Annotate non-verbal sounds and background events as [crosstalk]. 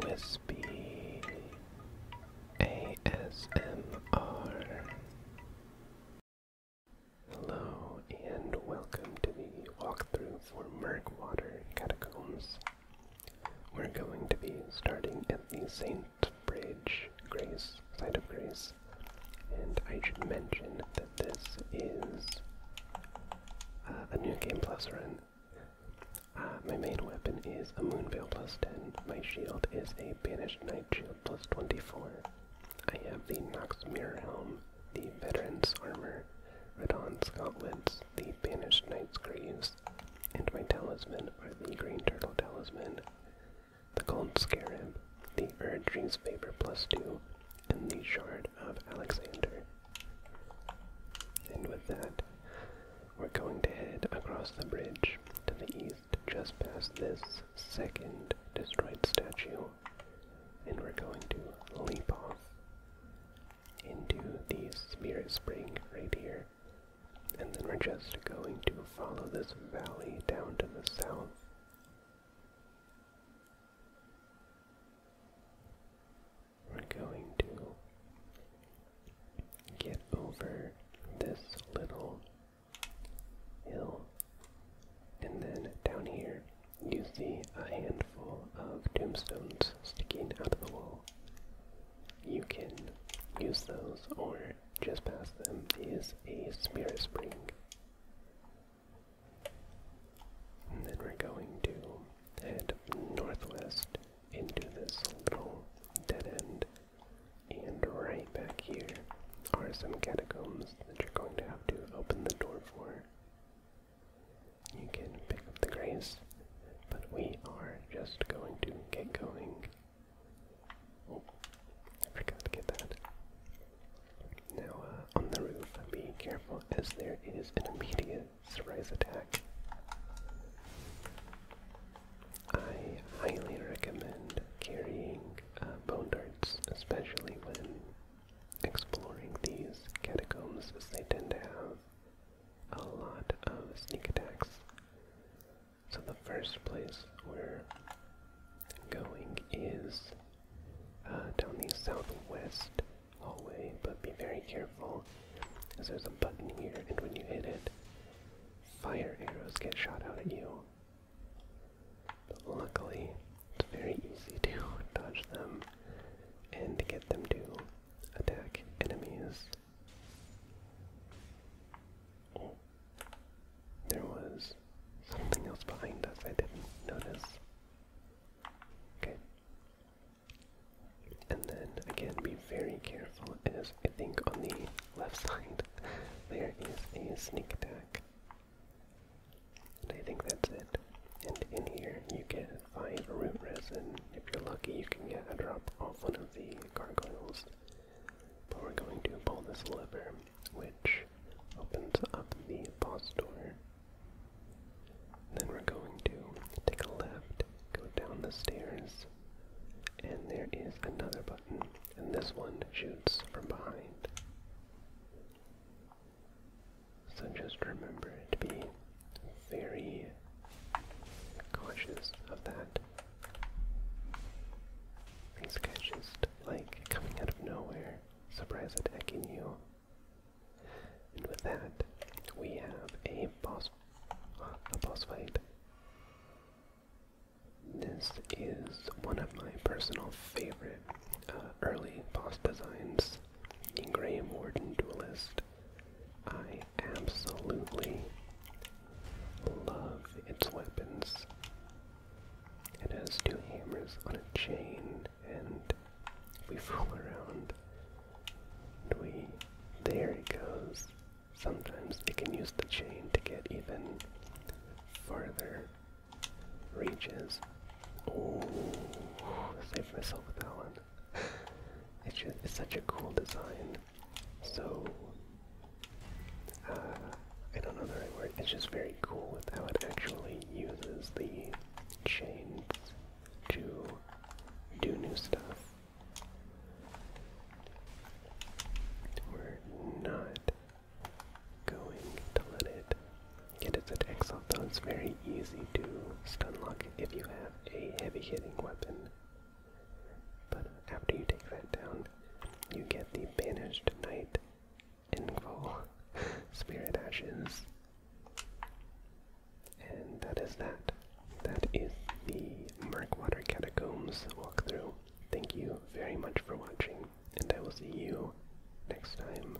Whispy ASMR. Hello and welcome to the walkthrough for Murkwater Catacombs. We're going to be starting at the Saint Bridge Grace, Site of Grace, and I should mention that this is uh, a new Game Plus run um, my main weapon is a moonveil plus 10. My shield is a banished knight shield plus 24. I have the Nox Mirror Helm, the Veteran's Armor, Redon's Gauntlets, the Banished Knight's Greaves, and my talisman are the Green Turtle Talisman, the Gold Scarab, the Erdree's Favor 2, and the Shard of Alexander. And with that, we're going to head across the bridge to the east, just past this second destroyed statue, and we're going to leap off into the Spirit Spring right here. And then we're just going to follow this valley down to the south. We're going to get over this little hill. And then down here, you see a handful of tombstones sticking out of the wall. You can use those or just past them is a spirit spring. And then we're going to head northwest into this little dead end. And right back here are some catacombs that you're going to have to open the door for. You can pick up the grace, but we are just going to get going Oh. forgot to get that. Now, uh, on the roof, be careful as there is an immediate surprise attack. I highly recommend carrying uh, bone darts, especially when exploring these catacombs, as they tend to have a lot of sneak attacks. So the first place we're going is uh, down the southwest hallway, but be very careful because there's a button here, and when you hit it, fire arrows get shot out at you. But luckily, it's very easy to [laughs] dodge them and get them to attack enemies. There was something else behind us I didn't notice. Okay. And then again, be very careful as I think on the left side there is a sneak attack. And I think that's it. And in here you get five root resin. If you're lucky, you can get a drop off one of the gargoyles we're going to pull this lever, which opens up the boss door. Then we're going to take a left, go down the stairs, and there is another button, and this one shoots from behind. So just remember to be very cautious of that. These guy's just like coming out of nowhere, surprise attacking you. And with that, we have a boss, a boss fight. This is one of my personal favorite uh, early boss designs in Graham Warden Duelist. I absolutely love its weapons. It has two hammers on a chain, and we fool around. we, there it goes. Sometimes they can use the chain to get even farther reaches. Oh, I myself that one. [laughs] It's just, such a cool design. So uh, I don't know the right word. It's just very cool with how it actually uses the chains to do new stuff. We're not going to let it get its attacks off, though it's very easy to stun lock if you have a heavy hitting weapon. But after you take that down, you get the Banished Knight Info [laughs] Spirit Ashes. And that is that. That is the Murkwater Catacombs walkthrough. Thank you very much for watching, and I will see you next time.